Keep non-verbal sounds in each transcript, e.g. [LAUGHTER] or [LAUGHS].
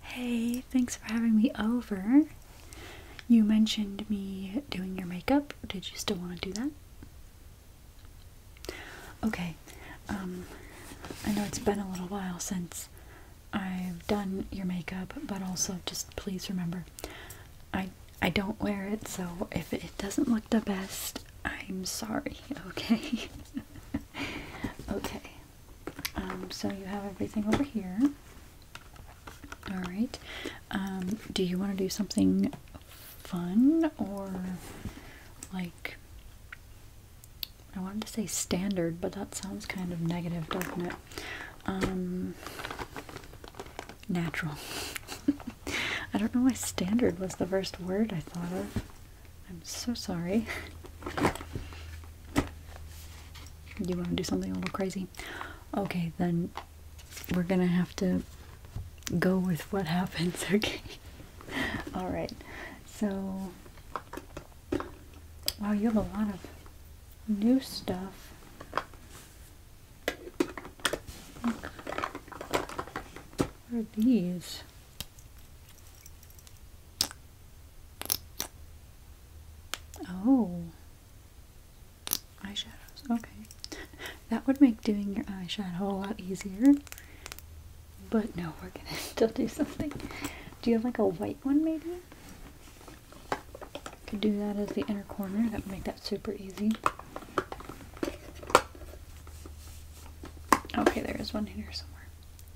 Hey, thanks for having me over. You mentioned me doing your makeup. Did you still want to do that? Okay. Um I know it's been a little while since I've done your makeup, but also just please remember I I don't wear it, so if it doesn't look the best, I'm sorry, [LAUGHS] okay? [LAUGHS] okay. Um, so you have everything over here. Alright. Um, do you want to do something fun or like I wanted to say standard, but that sounds kind of negative, doesn't it? Um, natural. [LAUGHS] I don't know why standard was the first word I thought of. I'm so sorry. You want to do something a little crazy? Okay, then we're gonna have to go with what happens, [LAUGHS] okay? Alright, so. Wow, you have a lot of new stuff. What are these? Oh. Eyeshadows. Okay. that would make doing your eyeshadow a lot easier. But no, we're gonna [LAUGHS] still do something. Do you have like a white one maybe? Could do that as the inner corner. That would make that super easy. Okay, there is one in here somewhere.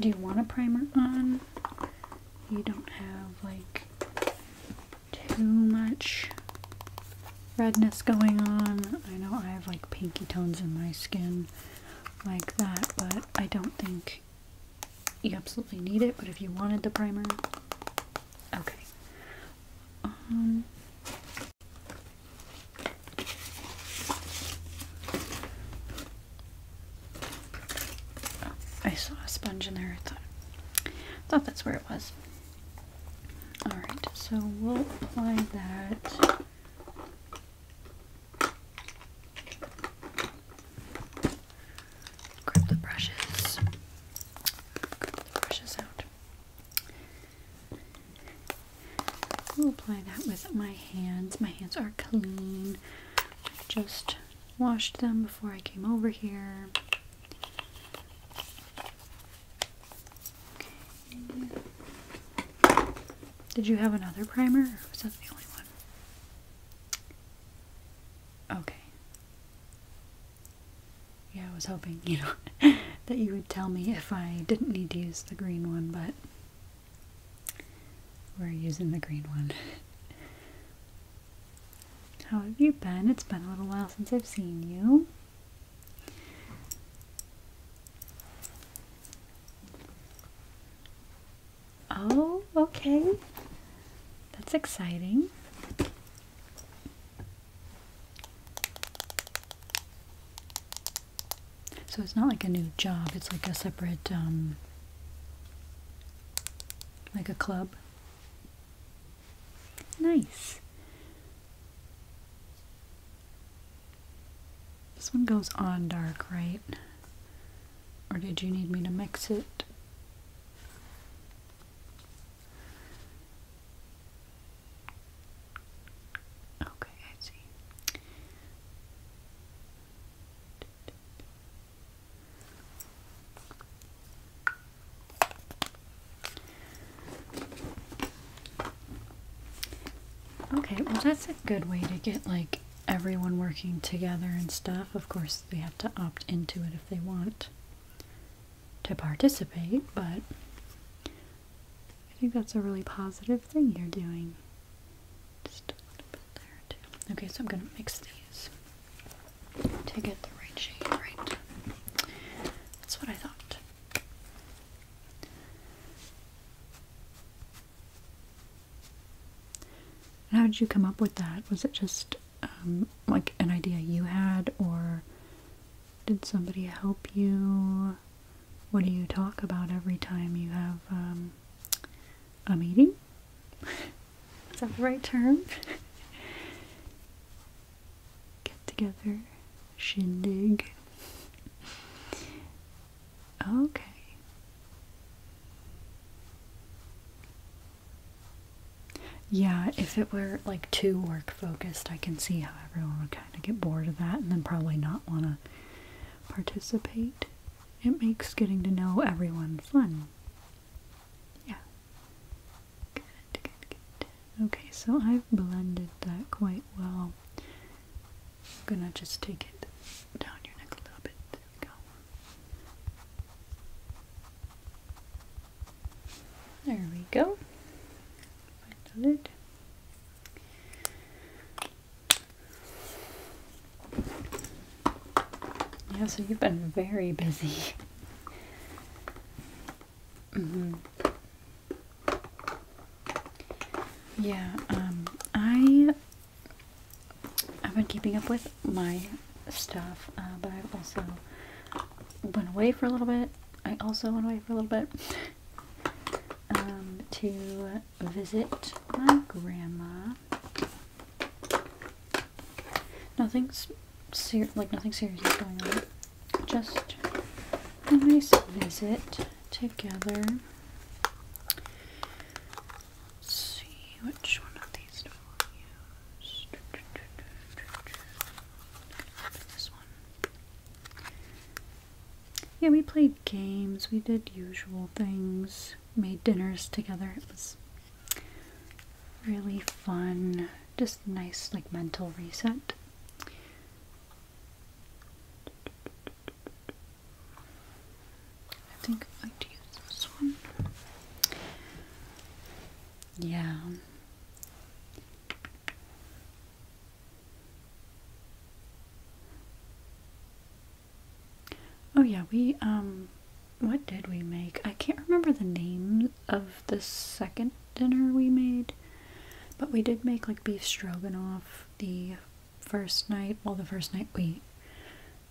Do you want a primer on? You don't have like too much redness going on. I know I have like pinky tones in my skin like that, but I don't think you absolutely need it. But if you wanted the primer, okay. Um, I saw a sponge in there. I thought, thought that's where it was. Alright, so we'll apply that. Grab the brushes. brushes out. We'll apply that with my hands. My hands are clean just washed them before I came over here. Did you have another primer, or was that the only one? Okay. Yeah, I was hoping, you know, [LAUGHS] that you would tell me if I didn't need to use the green one, but we're using the green one. How have you been? It's been a little while since I've seen you. Oh, okay. That's exciting. So it's not like a new job, it's like a separate um, like a club. Nice. This one goes on dark, right? Or did you need me to mix it? Okay, I see. Okay, well that's a good way to get like everyone working together and stuff. Of course, they have to opt into it if they want to participate, but I think that's a really positive thing you're doing. Okay, so I'm gonna mix these to get the right shade, right? That's what I thought. how did you come up with that? Was it just um, like an idea you had, or did somebody help you? What do you talk about every time you have um, I'm eating. Is that the right term? Get together, shindig. Okay. Yeah, if it were like too work focused, I can see how everyone would kind of get bored of that and then probably not want to participate. It makes getting to know everyone fun. Yeah. Good, good, good. Okay, so I've blended that quite well. I'm gonna just take it down your neck a little bit. There we go. There we go. Blended it. Yeah, so you've been very busy. Mm hmm Yeah, um, I have been keeping up with my stuff, uh, but I've also went away for a little bit. I also went away for a little bit um, to visit my grandma. Nothing's ser like nothing serious is going on. Just a nice visit together. see which one of these do I use. This one. Yeah, we played games. We did usual things made dinners together. It was really fun, just nice like mental reset. I think I'm use this one. Yeah. Oh yeah, we um what did we make? I can't remember the name of the second dinner we made, but we did make like beef stroganoff the first night. Well, the first night we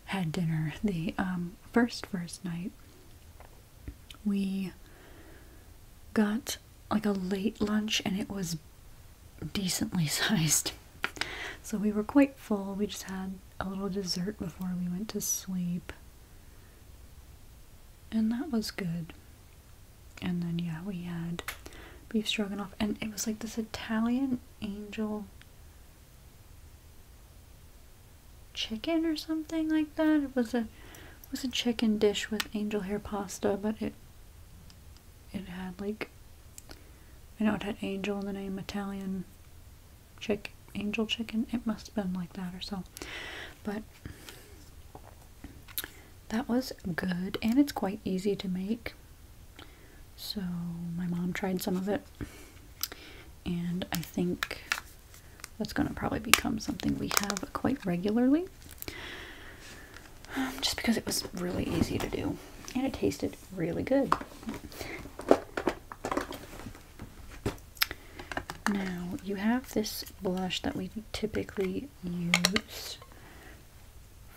had dinner, the um, first first night we got like a late lunch and it was decently [LAUGHS] sized so we were quite full. We just had a little dessert before we went to sleep. And that was good. And then, yeah, we had beef stroganoff. And it was like this Italian angel chicken or something like that. It was a it was a chicken dish with angel hair pasta, but it it had like I know it had angel in the name Italian chick angel chicken it must have been like that or so but that was good and it's quite easy to make so my mom tried some of it and i think that's going to probably become something we have quite regularly um, just because it was really easy to do and it tasted really good. Now, you have this blush that we typically use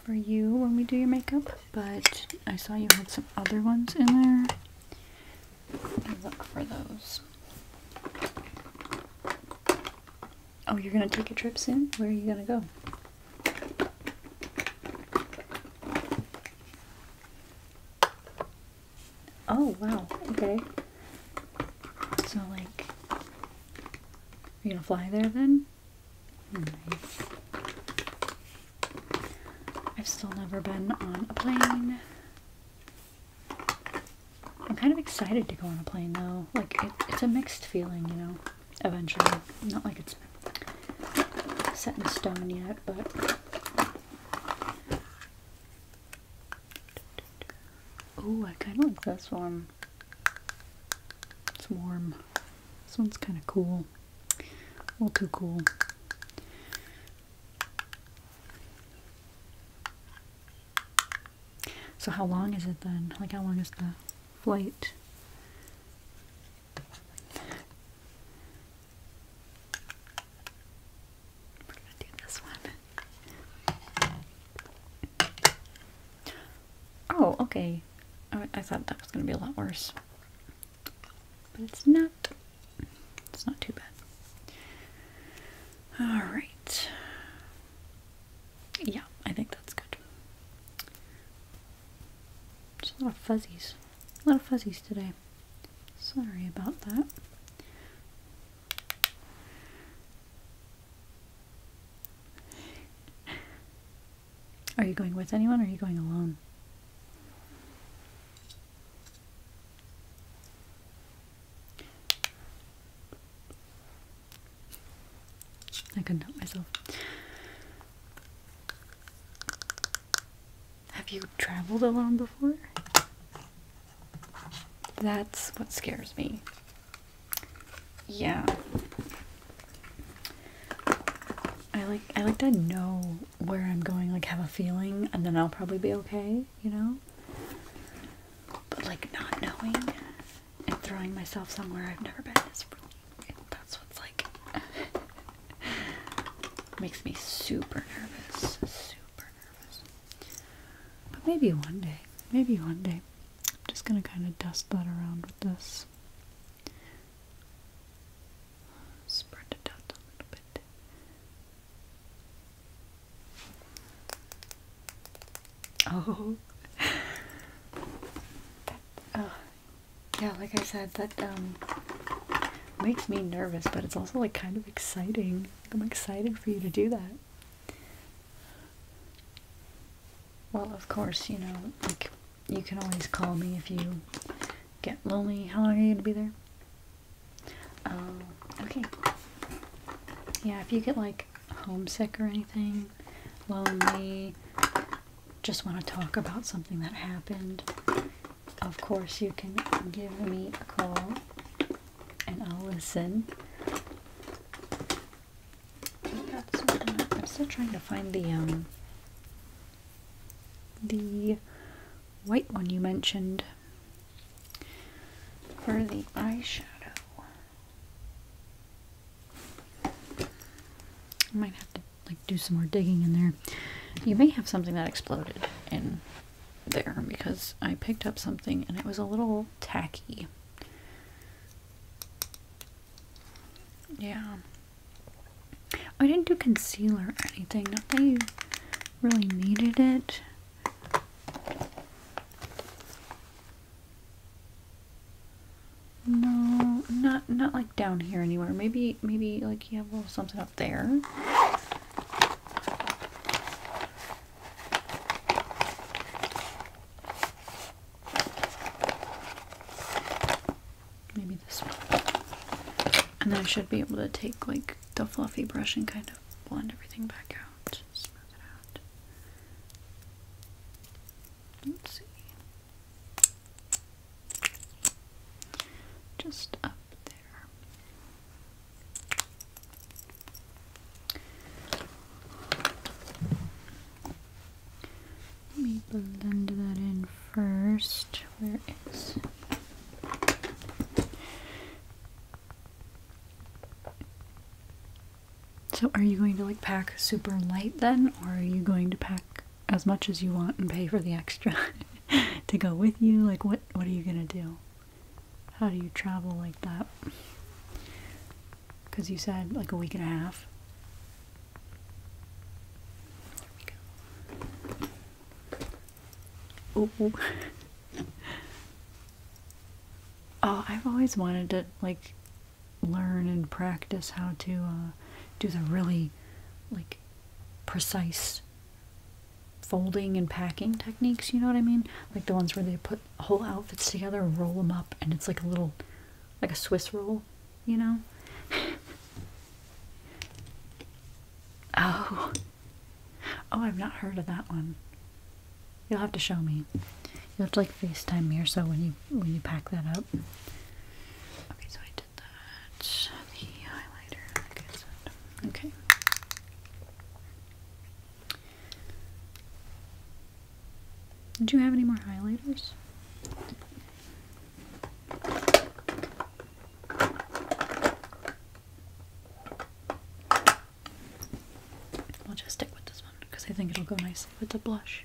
for you when we do your makeup, but I saw you had some other ones in there. Let me look for those. Oh, you're gonna take a trip soon? Where are you gonna go? Oh, wow. Okay. So, like, you gonna fly there then? I've still never been on a plane. I'm kind of excited to go on a plane though. Like, it's a mixed feeling, you know, eventually. Not like it's set in stone yet, but. oh, I kind of like this one. It's warm. This one's kind of cool. A little too cool. So how long is it then? Like how long is the flight? We're gonna do this one. Oh, okay. I, thought that was gonna be a lot worse, but it's not. It's not too bad. All right. Yeah, I think that's good. Just a lot of fuzzies. A lot of fuzzies today. Sorry about that. Are you going with anyone or are you going alone? I couldn't help myself. Have you traveled alone before? That's what scares me. Yeah. I like I like to know where I'm going, like have a feeling, and then I'll probably be okay, you know? But like not knowing and throwing myself somewhere I've never been is really that's what's like [LAUGHS] [LAUGHS] Makes me super nervous. Super nervous. But maybe one day. Maybe one day. I'm just gonna kind of dust that around with this. Spread it out a little bit. [LAUGHS] Oh. [LAUGHS] oh, yeah, like I said, that um, makes me nervous, but it's also like kind of exciting. I'm excited for you to do that. Well, of course, you know, like you can always call me if you get lonely. How long are you gonna be there? Uh, okay. Yeah, if you get like homesick or anything, lonely, just want to talk about something that happened, of course you can give me a call and I'll listen. I'm still trying to find the um the white one you mentioned for the eyeshadow. I might have to like do some more digging in there. You may have something that exploded in there because I picked up something and it was a little tacky. Yeah. I didn't do concealer or anything. Not that you really needed it. No, not not like down here anywhere. Maybe maybe like yeah, have a little something there. Maybe this one. And then I should be able to take like the fluffy brush and kind of blend everything back out. out. Let's see just up there. Let me blend that in first. Where is so, are you going to like pack super light then, or are you going to pack as much as you want and pay for the extra [LAUGHS] to go with you like what what are you going to do how do you travel like that cuz you said like a week and a half Oh. [LAUGHS] oh, I've always wanted to like learn and practice how to uh, do the really like precise folding and packing techniques, you know what I mean? Like the ones where they put whole outfits together and roll them up and it's like a little, like a Swiss roll, you know? [LAUGHS] oh. Oh, I've not heard of that one. You'll have to show me. You'll have to like FaceTime me or so when you when you pack that up. Okay, so I the highlighter, Okay. Do you have any more highlighters? i will just stick with this one because I think it'll go nicely with the blush.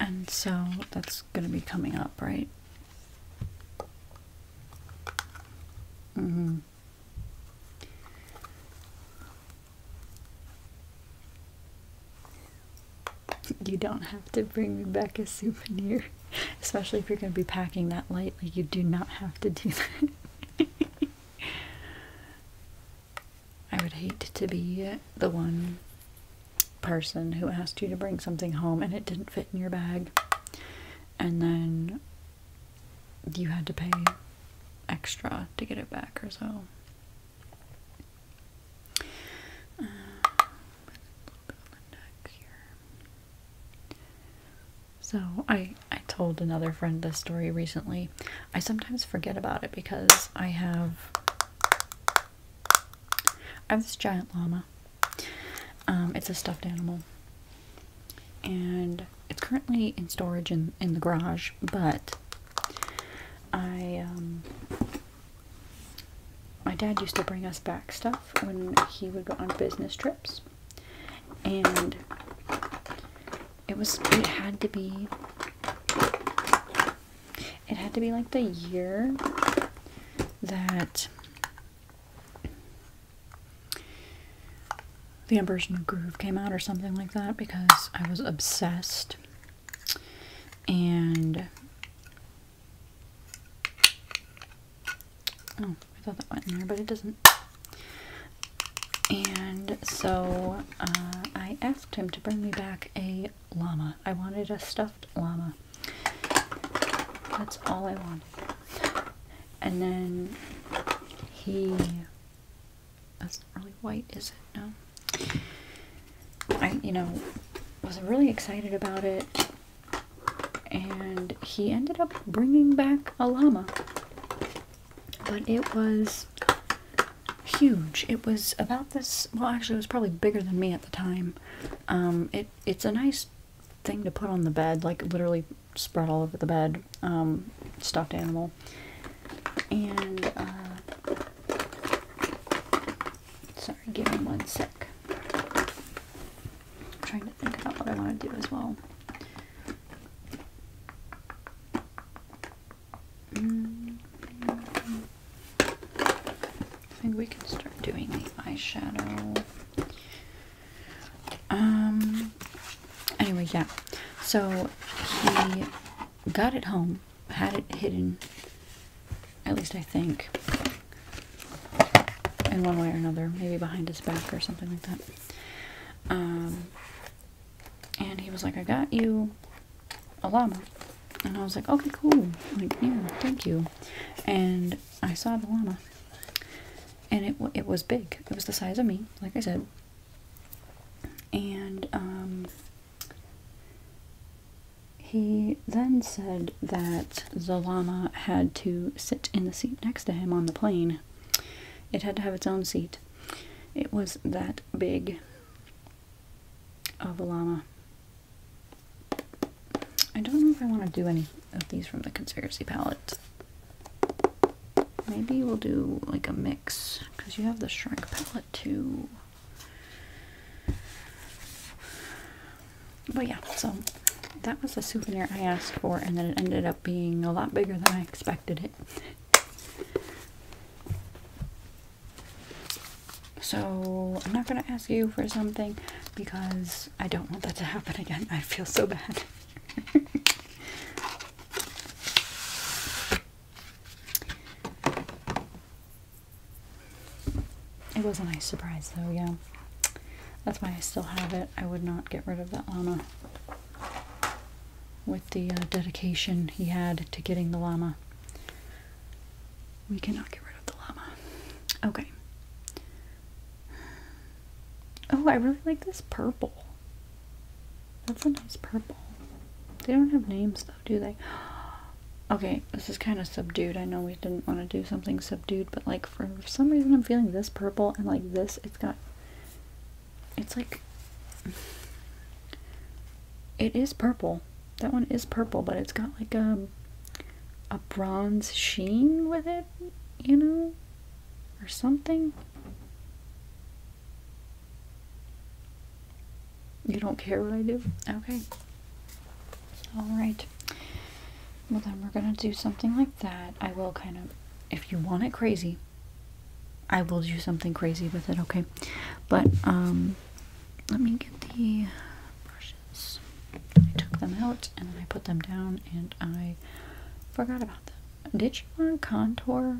And so that's going to be coming up, right? Mm-hmm. You don't have to bring me back a souvenir, [LAUGHS] especially if you're going to be packing that lightly. You do not have to do that. [LAUGHS] I would hate to be the one person who asked you to bring something home and it didn't fit in your bag, and then you had to pay extra to get it back or so. so I I told another friend this story recently. I sometimes forget about it because I have I have this giant llama. Um, it's a stuffed animal. And it's currently in storage in, in the garage, but I, um, my dad used to bring us back stuff when he would go on business trips. And it was, it had to be it had to be like the year that The Emperor's New Groove came out or something like that because I was obsessed. And oh, I thought that went in there, but it doesn't. And so uh, I asked him to bring me back a llama. I wanted a stuffed llama. That's all I wanted. And then he. That's not really white, is it? No. I, you know, was really excited about it. And he ended up bringing back a llama. But it was huge. It was about this, well, actually, it was probably bigger than me at the time. Um, it it's a nice thing to put on the bed, like literally spread all over the bed. Um, stuffed animal, and uh, sorry, give me one sec. trying to think about what I want to do as well. -hmm. I think we can start doing the eyeshadow. Um, anyway, yeah. So he got it home, had it hidden, at least I think, in one way or another, maybe behind his back or something like that. Um, and he was like, I got you a llama. And I was like, okay, cool. Like, yeah, thank you. And I saw the llama. And it, it was big. It was the size of me, like I said. And um, he then said that the llama had to sit in the seat next to him on the plane. It had to have its own seat. It was that big of a llama. I don't know if I want to do any of these from the conspiracy palette. Maybe we'll do like a mix because you have the shrek palette too. But yeah, so that was a souvenir I asked for, and then it ended up being a lot bigger than I expected it. So I'm not going to ask you for something because I don't want that to happen again. I feel so bad. [LAUGHS] it was a nice surprise though, yeah. That's why I still have it. I would not get rid of that llama with the uh, dedication he had to getting the llama. We cannot get rid of the llama. Okay. Oh, I really like this purple. That's a nice purple. They don't have names though, do they? [GASPS] Okay, this is kind of subdued. I know we didn't want to do something subdued, but like for some reason I'm feeling this purple and like this, it's got, it's like, [SIGHS] it is purple that one is purple, but it's got like a um, a bronze sheen with it, you know, or something. You don't care what I do? Okay. Alright. Well, then we're going to do something like that. I will kind of, if you want it crazy, I will do something crazy with it, okay? But, um, let me get the brush I took them out and I put them down and I forgot about them. Did you want contour?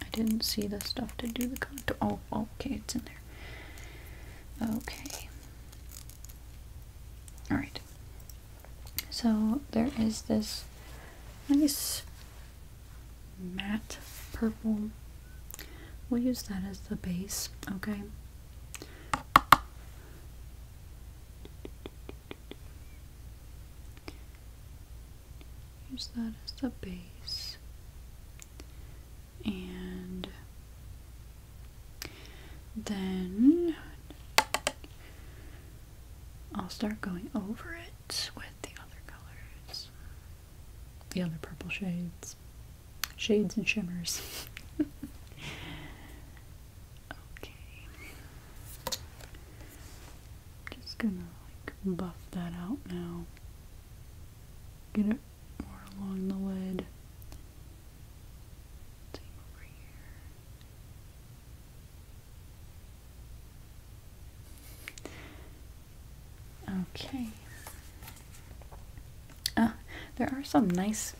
I didn't see the stuff to do the contour. Oh, okay, it's in there. Okay. Alright. So there is this nice matte purple. We'll use that as the base, okay? Use that as the base. And then I'll start going over it with the other colors the other purple shades. Shades and shimmers. [LAUGHS] okay. Just gonna like buff that out now. Get it more along the lid. Same over here. Okay. Uh, there are some nice.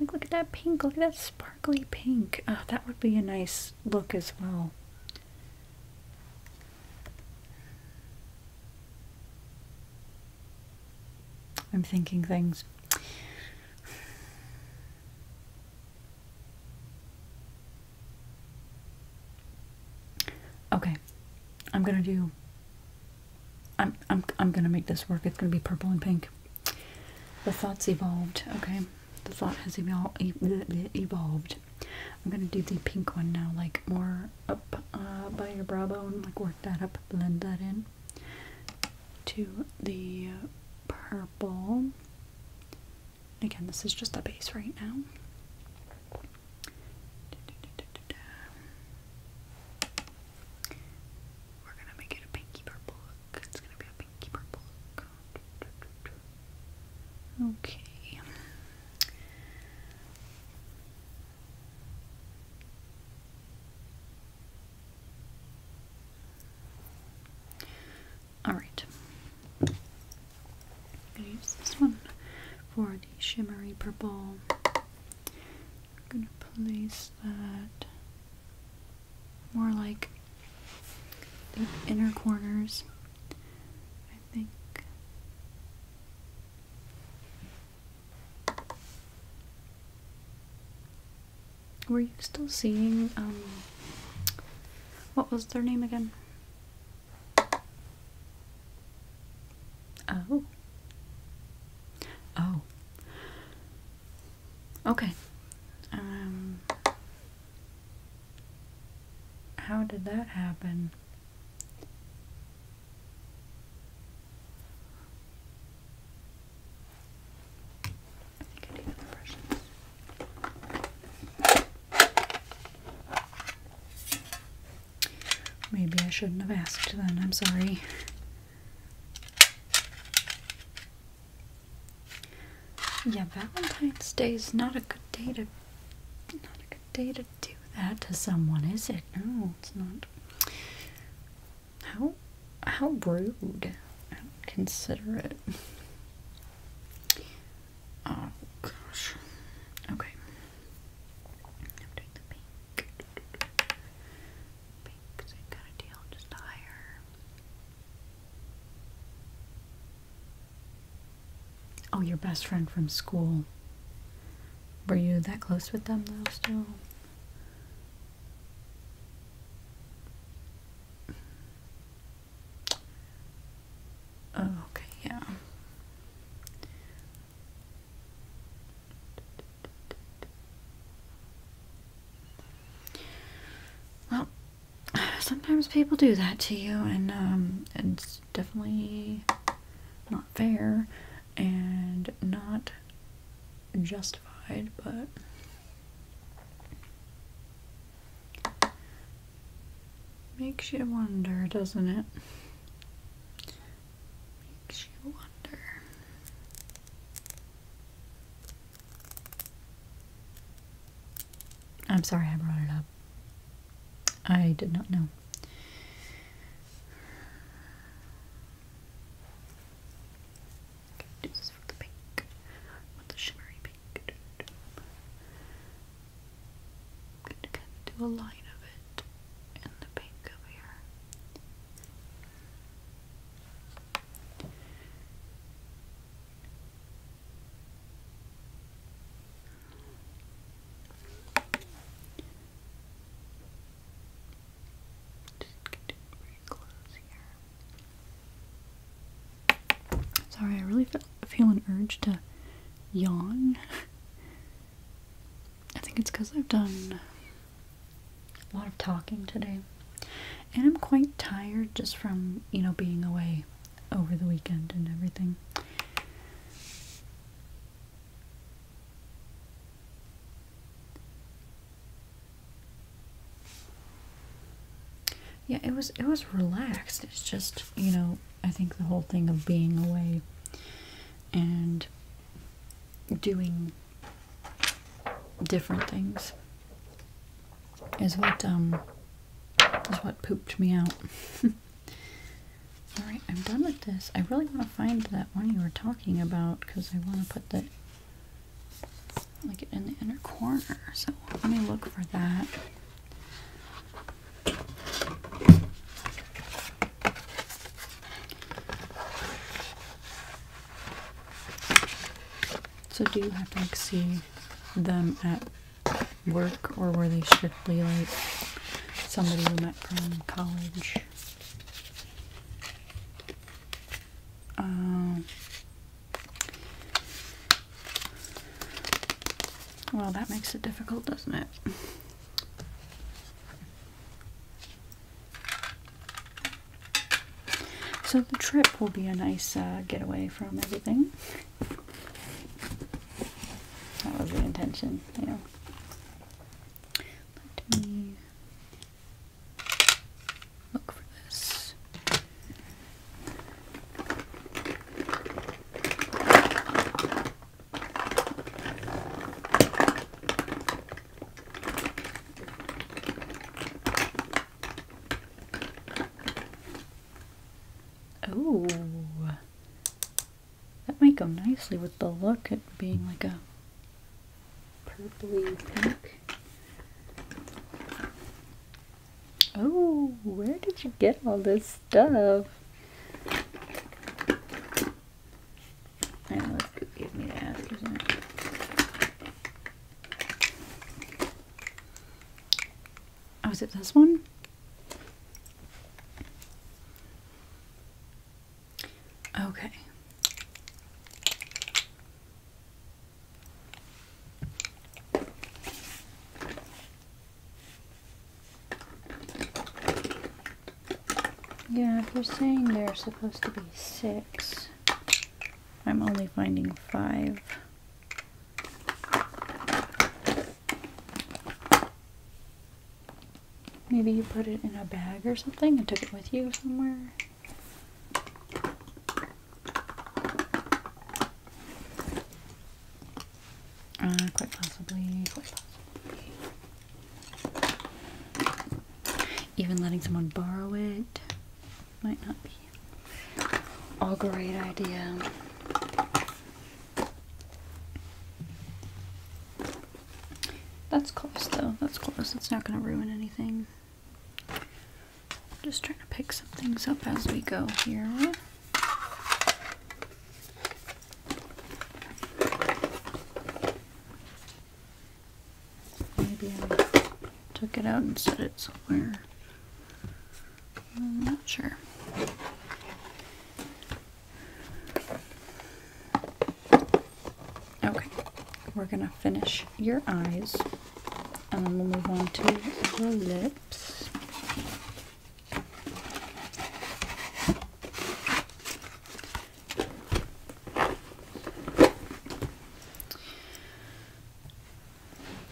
look at that pink. Look at that sparkly pink. Uh, that would be a nice look as well. I'm thinking things. Okay, I'm gonna do. I'm I'm I'm gonna make this work. It's gonna be purple and pink. The thoughts evolved. Okay, the thought has evolved. I'm gonna do the pink one now, like more up uh, by your brow bone, like work that up, blend that in to the purple. Again, this is just the base right now. We're gonna make it a pinky purple look. It's gonna be a pinky purple look. Okay. Alright. I'm going to use this one for the shimmery purple. I'm going to place that more like the inner corners, I think. Were you still seeing, um, what was their name again? Oh. Oh. Okay. Um How did that happen? I think I need other brushes. Maybe I shouldn't have asked then, I'm sorry. Yeah, Valentine's Day is not a good day to not a good day to do that to someone, is it? No, it's not. How how rude. How considerate. Oh gosh. Okay. I'm doing the pink. Pink, same kind of deal, just higher. Oh, your best friend from school. Were you that close with them though still? Oh, okay, yeah. Well, sometimes people do that to you, and um, it's definitely not fair and not justified, but Makes you wonder, doesn't it? Makes you wonder. I'm sorry I brought it up. I did not know. do this for the pink. the shimmery pink. I'm going to kind of do a line of it in the pink over here. Just get very close here. Sorry, I really feel, feel an urge to yawn. [LAUGHS] I think it's because I've done a lot of talking today. And I'm quite tired just from, you know, being away over the weekend and everything. Yeah, it was it was relaxed. It's just, you know, I think the whole thing of being away and doing different things is what um, what pooped me out. [LAUGHS] Alright, I'm done with this. I really want to find that one you were talking about because I want to put that like in the inner corner. So let me look for that. So do you have to like see them at work or were they strictly like somebody you met from college? Um, well, that makes it difficult, doesn't it? So the trip will be a nice uh, getaway from everything. That was the intention, you know. Let me look for this. Oh, that might go nicely with the look at being like a purpley pink. Oh, where did you get all this stuff? let's give me that, isn't Oh, is it this one? Okay. Yeah, if you're saying there are supposed to be six, I'm only finding five. Maybe you put it in a bag or something and took it with you somewhere. Uh, quite possibly, quite possibly. Even letting someone borrow it might not be a great idea. That's close though. That's close. It's not going to ruin anything. I'm just trying to pick some things up as we go here. Maybe I took it out and set it somewhere. I'm not sure. Okay, we're gonna finish your eyes and then we'll move on to the lips.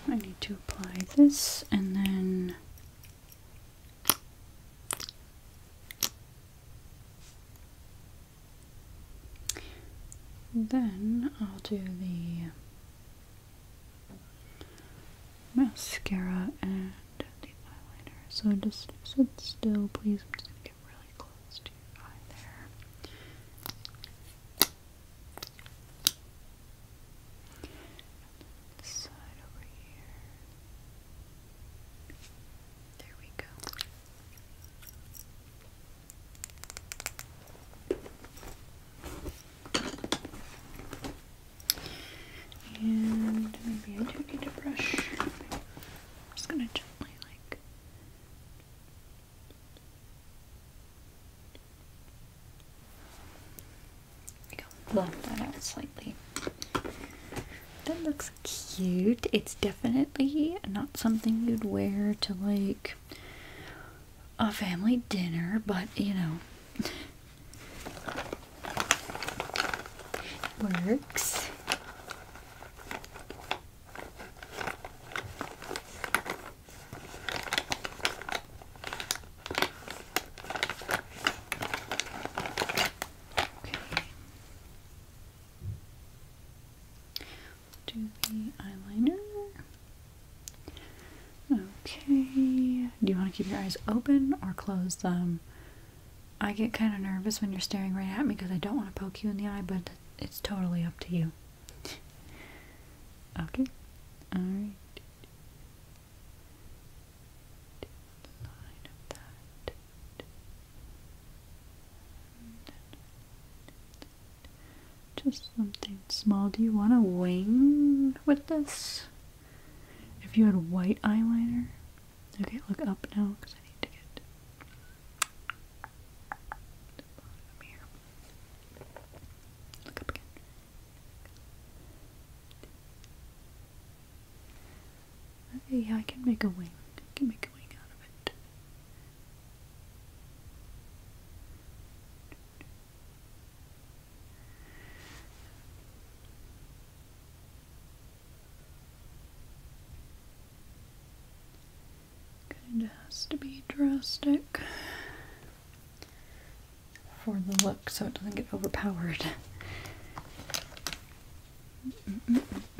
I need to apply this and then then I'll do the mascara and the eyeliner. So just sit still, please. I'm just gonna get really close to your eye there. This side over here. There we go. And maybe I do need a brush. I'm just gonna gently like Bluff that out slightly. That looks cute. It's definitely not something you'd wear to like a family dinner, but you know works. Okay. Do the eyeliner. Okay. Do you want to keep your eyes open or close them? I get kind of nervous when you're staring right at me because I don't want to poke you in the eye, but it's totally up to you. okay? Alright. Just something small. Do you want a wing with this? If you had white eyeliner, Okay, look up now because I need to get Look up again. yeah, I can make a wing. I can make a wing out of it. It has to be drastic for the look so it doesn't get overpowered.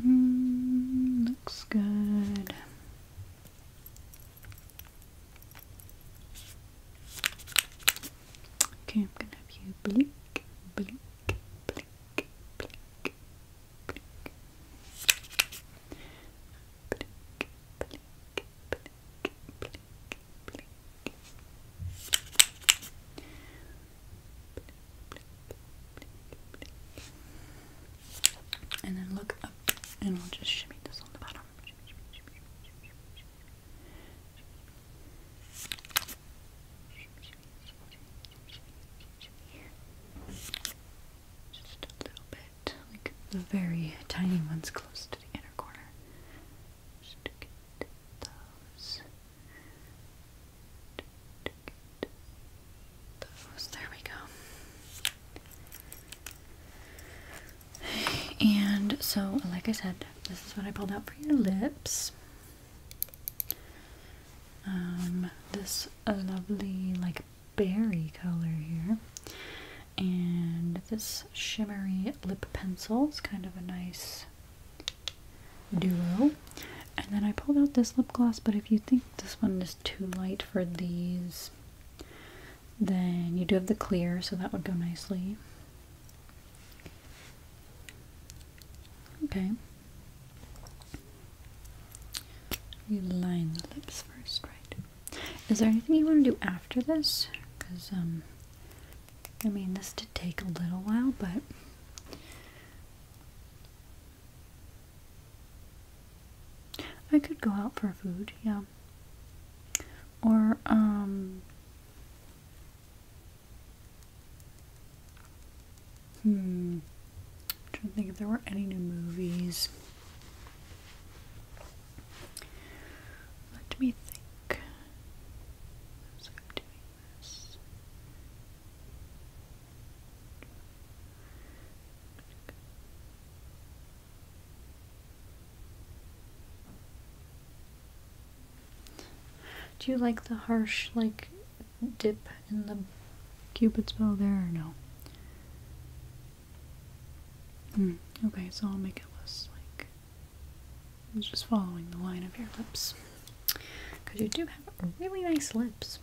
Looks good. Okay, I'm gonna have you blink, blink, blink, blink, And then look up, and we'll just shimmy this on the bottom. Just a little bit, like the very tiny ones close to the inner corner. those. those. There we go. And so, like I said, this is what I pulled out for your lips. Um, this lovely like berry color here, and this shimmery lip pencil is kind of a nice duo. And then I pulled out this lip gloss, but if you think this one is too light for these, then you do have the clear, so that would go nicely. Okay. You line the lips first, right? Is there anything you want to do after this? Because, um, I mean, this did take a little while, but. I could go out for food, yeah. Or, um, Hmm. I'm trying to think if there were any new movies. Let me think. Do you like the harsh, like, dip in the cupid's bow there or no? Hmm, okay, so I'll make it less like I'm just following the line of your lips. Because you do have really nice lips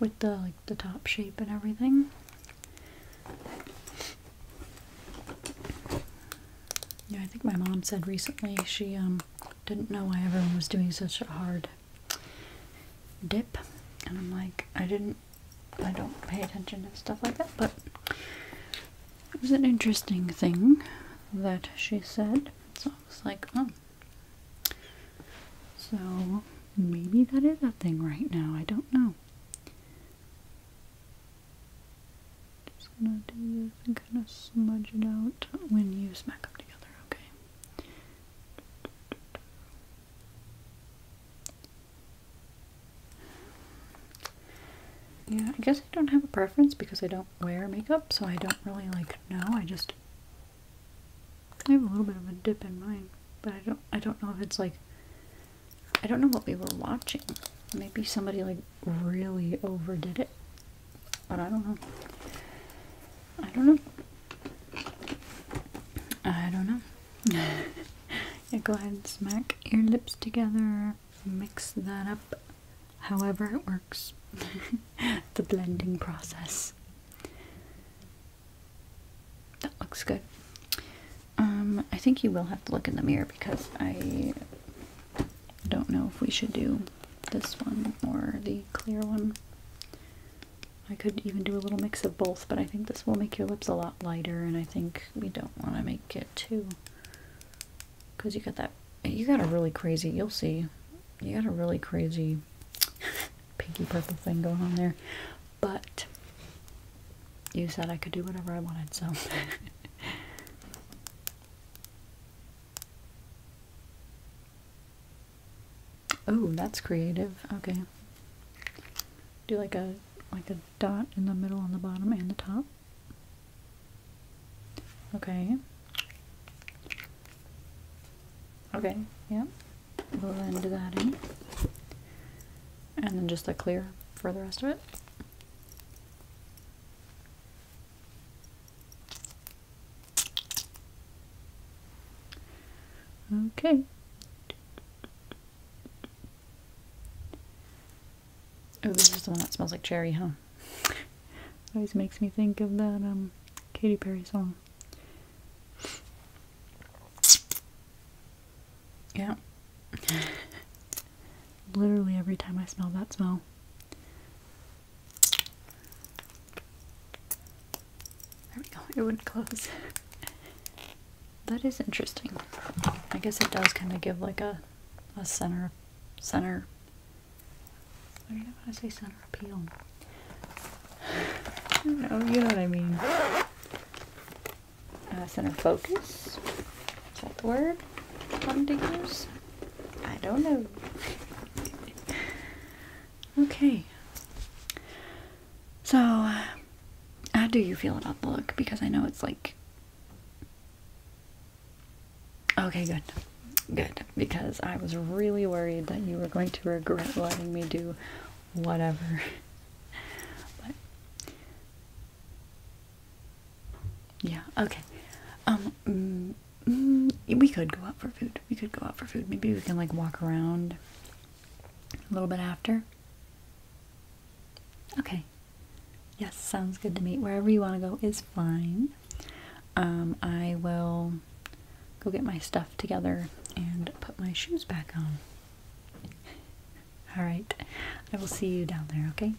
with the like the top shape and everything. Yeah, I think my mom said recently she um didn't know why everyone was doing such a hard dip, and I'm like, I didn't, I don't pay attention to stuff like that, but it was an interesting thing that she said, so I was like, oh. So maybe that is a thing right now, I don't know. Just gonna do this and kind of smudge it out when you smack them together, okay? Yeah, I guess I don't have a preference because I don't wear makeup, so I don't really like know. I just I have a little bit of a dip in mine, but I don't I don't know if it's like I don't know what we were watching. Maybe somebody like really overdid it. But I don't know. I don't know. I don't know. [LAUGHS] yeah, go ahead and smack your lips together. Mix that up however it works. [LAUGHS] the blending process. That looks good. Um, I think you will have to look in the mirror because I don't know if we should do this one or the clear one. I could even do a little mix of both, but I think this will make your lips a lot lighter, and I think we don't want to make it too, because you got that, you got a really crazy, you'll see, you got a really crazy [LAUGHS] pinky purple thing going on there, but you said I could do whatever I wanted, so [LAUGHS] Oh, that's creative. Okay. Do like a like a dot in the middle on the bottom and the top. Okay. Okay, Yep. We'll then that in. And then just a clear for the rest of it. Okay. Oh, this is the one that smells like cherry, huh? [LAUGHS] Always makes me think of that um Katy Perry song. Yeah. [LAUGHS] Literally every time I smell that smell, there we go, it wouldn't close. that is interesting. I guess it does kind of give like a, a center, center, what do you want to say center appeal? I [SIGHS] don't know, you know what I mean. Uh, center focus, is that the word? Fun I don't know. okay. So, uh, how do you feel about the look? Because I know it's like. Okay, good. Good. Because I was really worried that you were going to regret letting me do whatever. Yeah, okay. Um, mm, Mm, we could go out for food. We could go out for food. Maybe we can like walk around a little bit after. Okay. Yes, sounds good to me. Wherever you want to go is fine. Um, I will go get my stuff together and put my shoes back on. [LAUGHS] All right. I will see you down there, okay?